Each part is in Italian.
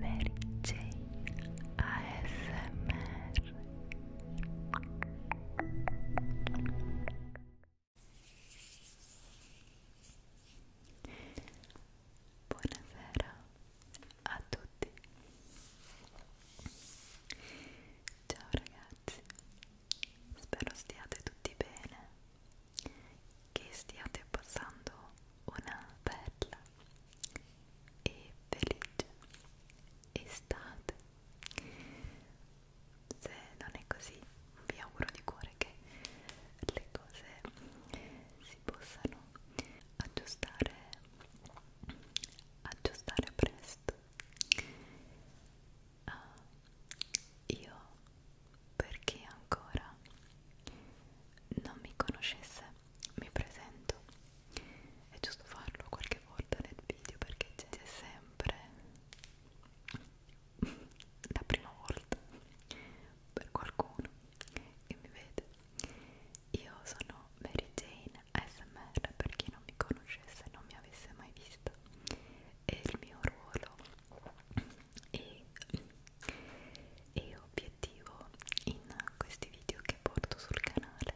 Mary Jane ASMR Buonasera a tutti Ciao ragazzi Spero stiate tutti bene che stiate passando una bella e felice estate. Se non è così, vi auguro di cuore che le cose si possano aggiustare, aggiustare presto. Uh, io perché ancora non mi conoscesse mi presento è giusto farlo qualche volta nel video perché c'è sempre la prima volta per qualcuno che mi vede io sono Mary Jane ASMR per chi non mi conoscesse non mi avesse mai vista e il mio ruolo e, e obiettivo in questi video che porto sul canale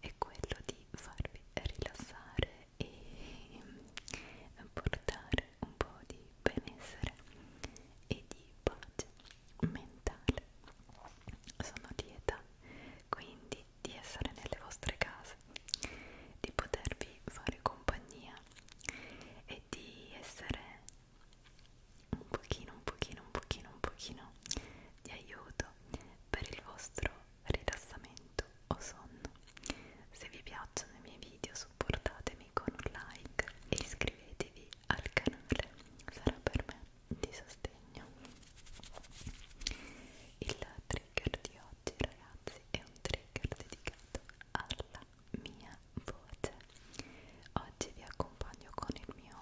è quello di farvi rilassare e portare un po' di benessere e di pace mentale sono lieta quindi di essere nelle vostre case di potervi fare compagnia e di essere un pochino, un pochino, un pochino, un pochino di aiuto per il vostro rilassamento o sonno. Se vi piacciono i miei video supportatemi con un like e iscrivetevi al canale, sarà per me di sostegno. Il trigger di oggi ragazzi è un trigger dedicato alla mia voce oggi vi accompagno con il mio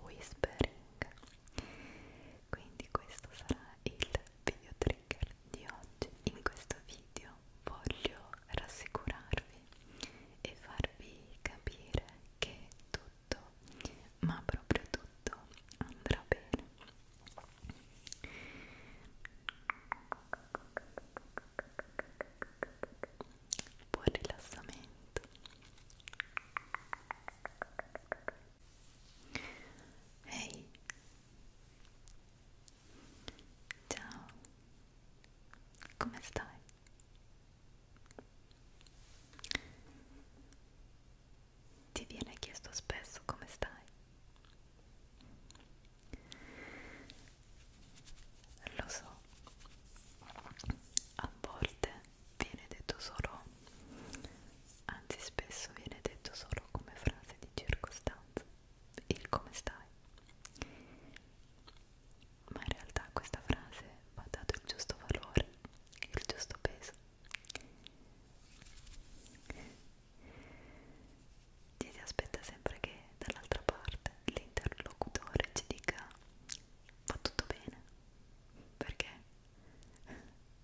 whispering quindi questo sarà il video trigger di oggi in questo video voglio rassicurarvi e farvi capire che tutto ma proprio tutto andrà bene buon rilassamento ehi hey. ciao come stai? ti viene chiesto spesso come stai? Lo so, a volte viene detto solo, anzi spesso viene detto solo come frase di circostanza, il come stai. Ma in realtà a questa frase va dato il giusto valore, il giusto peso ci si aspetta sempre che dall'altra parte l'interlocutore ci dica va tutto bene perché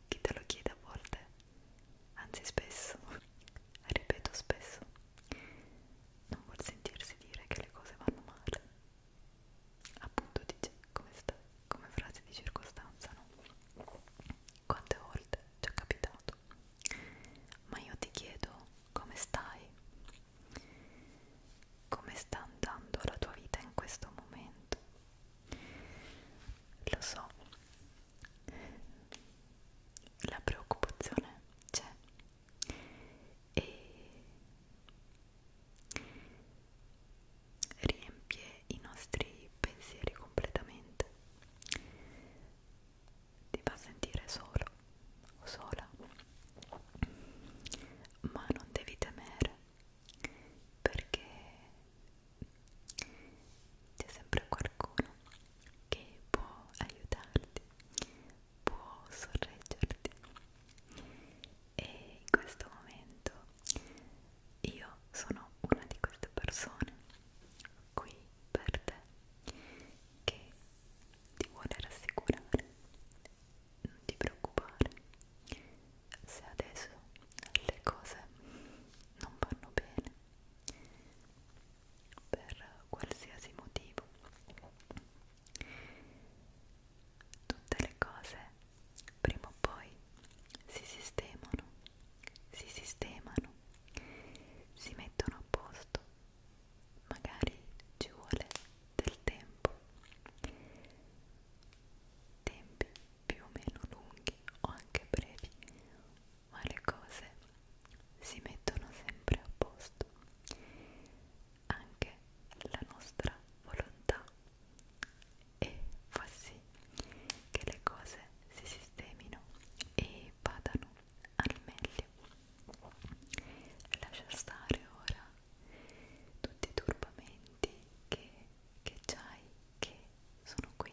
chi te lo chiede a volte anzi spesso ripeto spesso non vuol sentirsi dire che le cose vanno male appunto dice come stai come frase di circostanza no quante volte ci è capitato ma io ti chiedo come stai? Come sta andando la tua vita in questo momento? Lo so, la preoccupazione c'è e riempie i nostri pensieri completamente ti fa sentire solo o sola, ma non devi temere perché c'è sempre qualcuno che può aiutarti, può sorreggerti e in questo momento io sono una di queste persone qui per te che ti vuole rassicurare, non ti preoccupare se adesso le cose non vanno bene per qualsiasi motivo tutte le cose prima o poi si sistemano si sistemano, si mettono a posto, magari ci vuole del tempo, tempi più o meno lunghi o anche brevi, ma le cose si mettono sempre a posto, anche la nostra volontà e fa sì che le cose si sistemino e vadano al meglio. Lascia stare ora tutti i turbamenti che, che c'hai, che sono qui.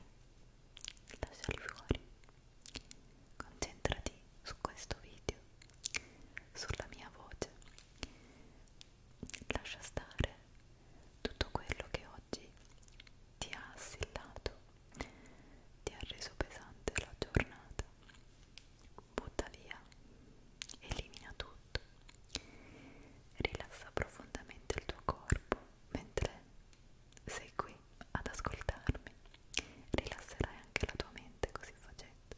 Lasciali fuori. Concentrati su questo video, sulla mia voce. Lascia stare tutto quello che ho oggi ti ha assillato, ti ha reso pesante la giornata. Butta via, elimina tutto, rilassa profondamente il tuo corpo mentre sei qui ad ascoltarmi, rilasserai anche la tua mente così facendo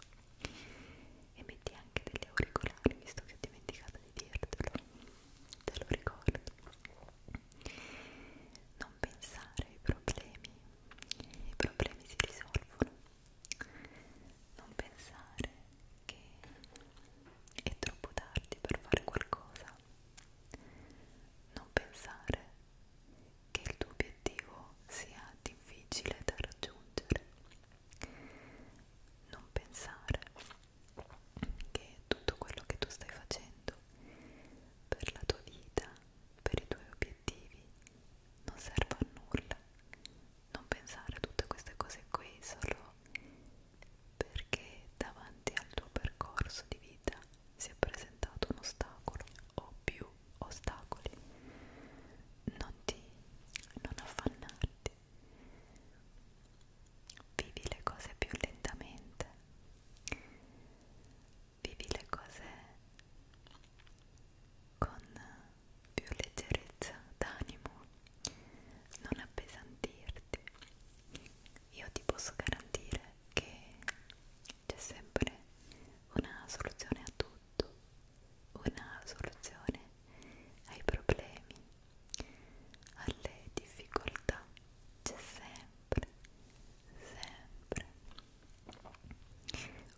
e metti anche degli auricolari visto che ho dimenticato di dirtelo, te lo ricordo non pensare ai problemi, i problemi si risolvono. Non pensare che è troppo tardi per fare qualcosa. Non pensare che il tuo obiettivo sia difficile da raggiungere. Non pensare che tutto quello che tu stai facendo per la tua vita, per i tuoi obiettivi, non serve a nulla. Non pensare a tutte queste cose qui solo perché davanti al tuo percorso di vita si è presentato un ostacolo o più ostacoli. Non ti non affannarti vivi le cose più lentamente, vivi le cose con più leggerezza d'animo, non appesantirti. Io ti posso garantire che c'è sempre una soluzione a tutto, una soluzione ai problemi, alle difficoltà c'è sempre, sempre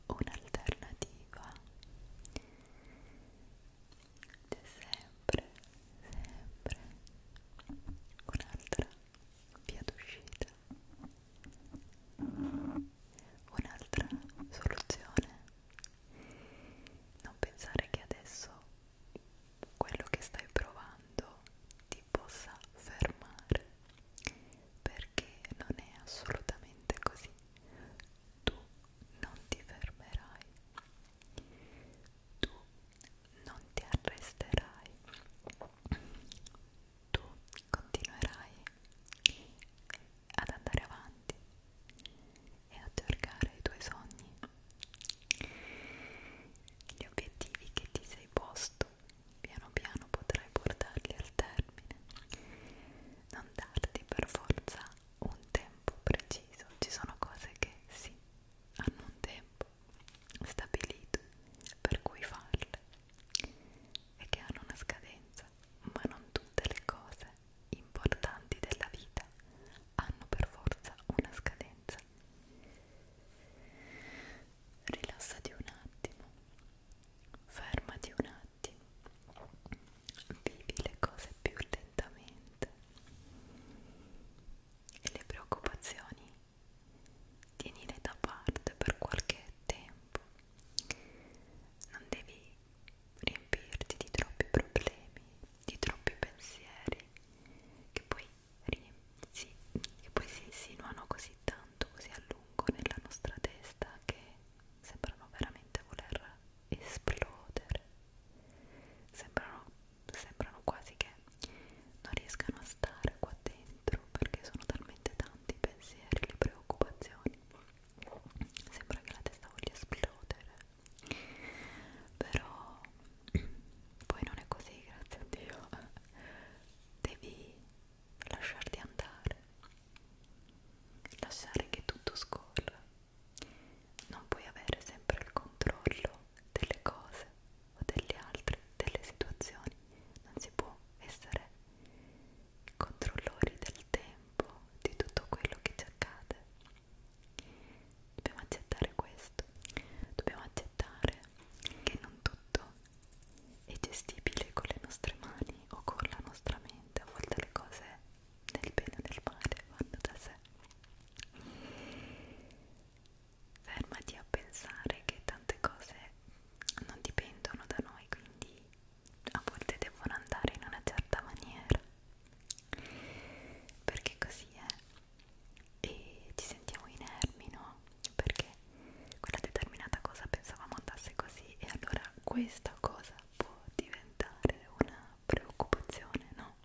un'alternativa c'è sempre, sempre un'altra via d'uscita un'altra soluzione non pensare che adesso quello che stai provando ti possa fermare perché non è assolutamente così tu non ti fermerai tu non ti arresterai tu continuerai ad andare avanti e a cercare i tuoi sogni gli obiettivi che ti sei posto piano piano potrai portarli al termine. Non darti per forza un tempo preciso, ci sono cose che sì, hanno un tempo stabilito per cui farle e che hanno una scadenza, ma non tutte le cose importanti della vita hanno per forza una scadenza. Rilassati un attimo, fermati un attimo, vivi le cose più lentamente e le preoccupazioni tienile da parte per qualche tempo. Non devi riempirti di troppi problemi, di troppi pensieri che poi, sì, che poi si insinuano così tanto, così a lungo nella nostra testa che sembrano veramente voler esplodere sembrano, sembrano quasi che non riescano a stare qua dentro perché sono talmente tanti i pensieri, le preoccupazioni sembra che la testa voglia esplodere però poi non è così grazie a Dio devi lasciarti andare lasciare che tutto scorra non puoi avere sempre il controllo delle cose o degli altri delle situazioni non si può essere controllori del tempo di tutto quello che ci accade Dobbiamo accettare questo, dobbiamo accettare che non tutto è gestibile con le nostre mani o con la nostra mente, a volte le cose nel bene o nel male vanno da sé. Fermati a pensare che tante cose non dipendono da noi, quindi a volte devono andare in una certa maniera perché così è e ci sentiamo inermi, no? Perché quella determinata cosa pensavamo andasse così e allora questa cosa può diventare una preoccupazione, no?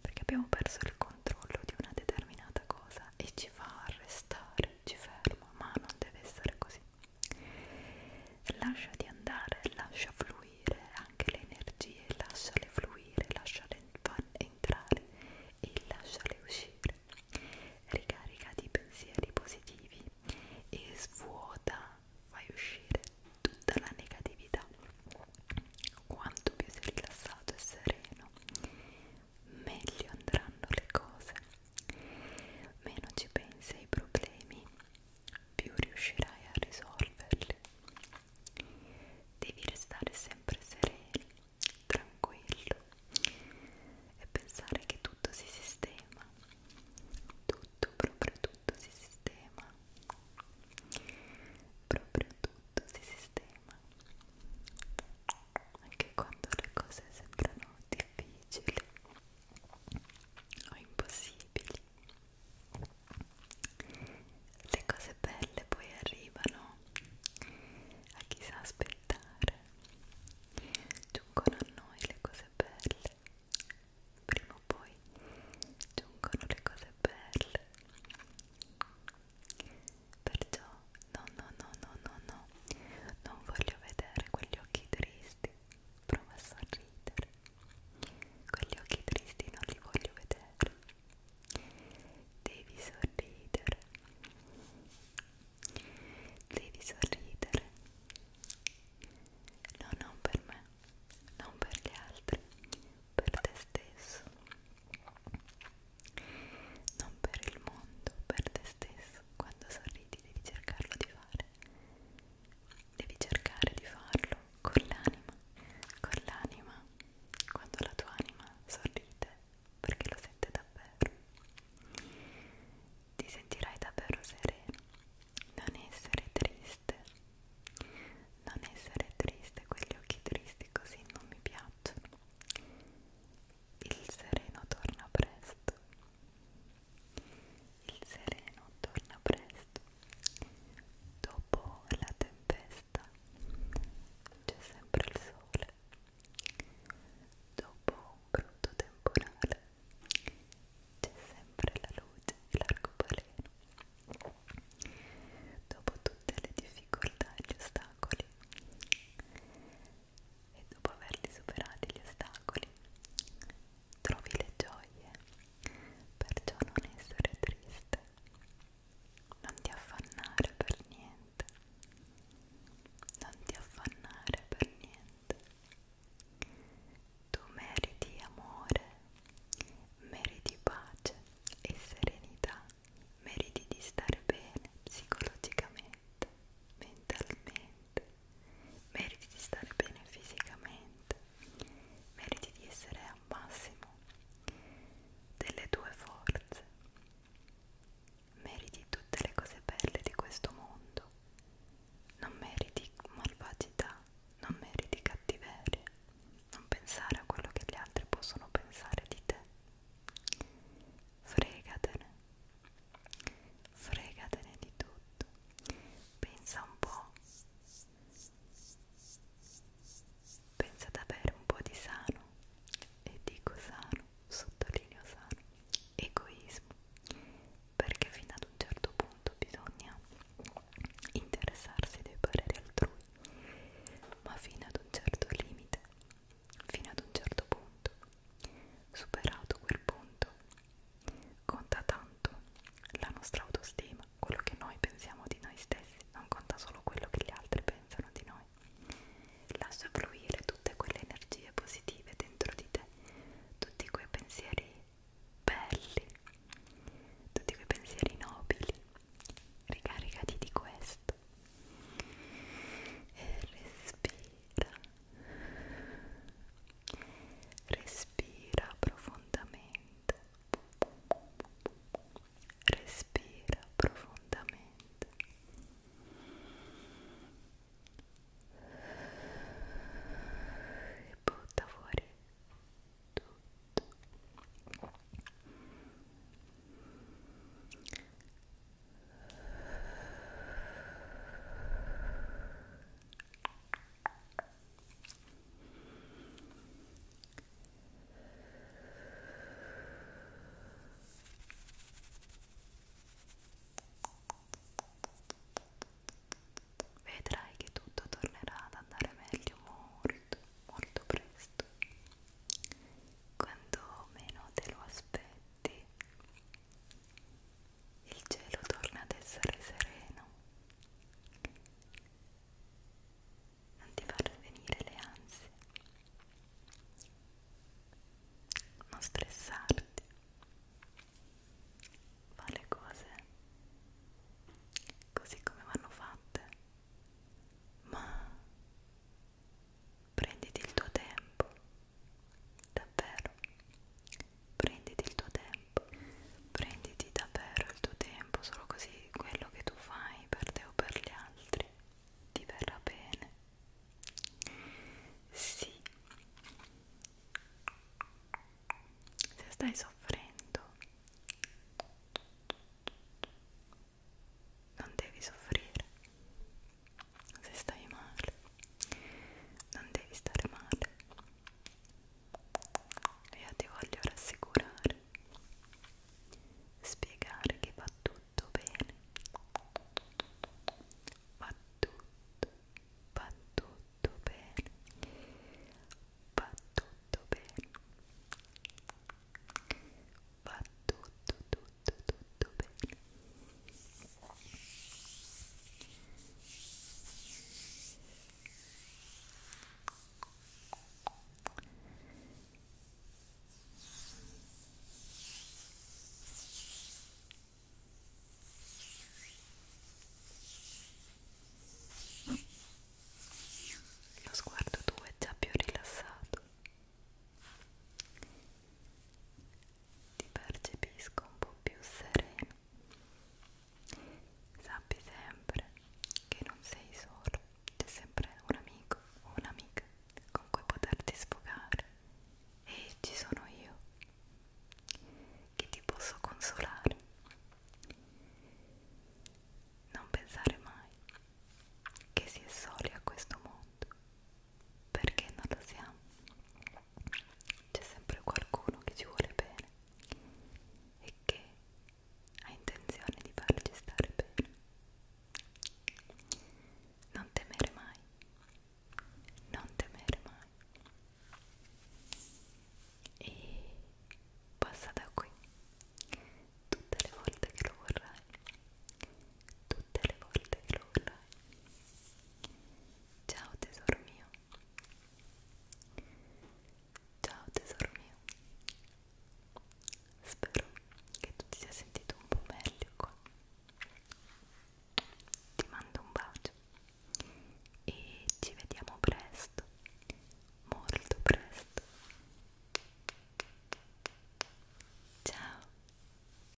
Perché abbiamo perso il controllo di una determinata cosa e ci fa restare, ci fermo, ma non deve essere così. Lasciati andare, lascia fluire fluire anche le energie, lasciale fluire, lasciale entrare e lasciale uscire. Ricarica di pensieri positivi e svuota, fai uscire tutta la negatività. Quanto più sei rilassato e sereno, meglio andranno le cose. Meno ci pensi ai problemi più riuscirai a risolverli. Devi restare sempre sereno, tranquillo e pensare che tutto si sistema, tutto, proprio tutto si sistema, proprio tutto si sistema. Anche quando le cose sembrano difficili o impossibili le cose belle poi arrivano a chi sa aspettare giungono a noi le cose belle prima o poi giungono le cose belle perciò no no no no no no non voglio vedere quegli occhi tristi prova a sorridere quegli occhi tristi non li voglio vedere devi sorridere devi sorridere no non per me non per gli altri per te stesso non per il mondo per te stesso quando sorridi devi cercarlo di fare Devi cercare di farlo con l'anima, con l'anima, quando la tua anima sorride, perché lo sente davvero. Ti sentirai davvero sereno, non essere triste, non essere triste, quegli occhi tristi così non mi piacciono. Il sereno torna presto. Il sereno torna presto. Dopo la tempesta c'è sempre il sole. Dopo un brutto temporale c'è sempre la luce e l'arcobaleno. Dopo tutte le difficoltà e gli ostacoli e dopo averli superati gli ostacoli trovi le gioie perciò non essere triste, non ti affannare per niente, non ti affannare per niente. Tu meriti amore, meriti pace e serenità, meriti di stare bene psicologicamente, mentalmente, meriti di stare bene fisicamente, meriti di essere al massimo delle tue forze, meriti tutte le cose belle di questo mondo, non meriti malvagità, non meriti cattiveria, non pensare a quello che gli altri possono pensare di te. Fregatene, fregatene di tutto pensa un po', pensa ad avere un po' di sano, e dico sano, sottolineo sano, egoismo, perché fino ad un certo punto bisogna interessarsi dei pareri altrui, ma fino ad un certo limite, fino ad un certo punto, superato quel punto Conta tanto la nostra autostima, quello che noi pensiamo di noi stessi, non conta solo quello che gli altri pensano di noi. Lascia fluire tutte quelle energie positive dentro di te, tutti quei pensieri belli, tutti quei pensieri nobili. Ricaricati di questo e respira Respira profondamente. Respira profondamente. E butta fuori tutto. Vedrai che tutto tornerà ad andare meglio molto, molto presto. Quando meno te lo aspetti il cielo torna ad essere sereno non ti far venire le ansie non stressarti fa le cose così come vanno fatte ma prenditi il tuo tempo davvero prenditi il tuo tempo, prenditi davvero il tuo tempo, solo così quello che tu fai per te o per gli altri ti verrà bene. Sì, se stai soffrendo, non devi soffrire se stai male non devi stare male io ti voglio rassicurare spiegare che va tutto bene va tutto va tutto bene va tutto bene va tutto tutto tutto bene lo sguardo tuo è già più rilassato ti percepisco un po' più sereno. Sappi sempre che non sei solo, c'è sempre un amico o un'amica con cui poterti sfogare e ci sono io che ti posso consolare. Non pensare mai che si è soli a questo mondo perché non lo siamo c'è sempre qualcuno che ci vuole bene e che ha intenzione di farci stare bene non temere mai non temere mai e passa da qui tutte le volte che lo vorrai tutte le volte che lo vorrai Ciao tesoro mio. Ciao tesoro mio. Spero che tu ti sia sentito un po' meglio qua. Ti mando un bacio e ci vediamo presto, molto presto. Ciao.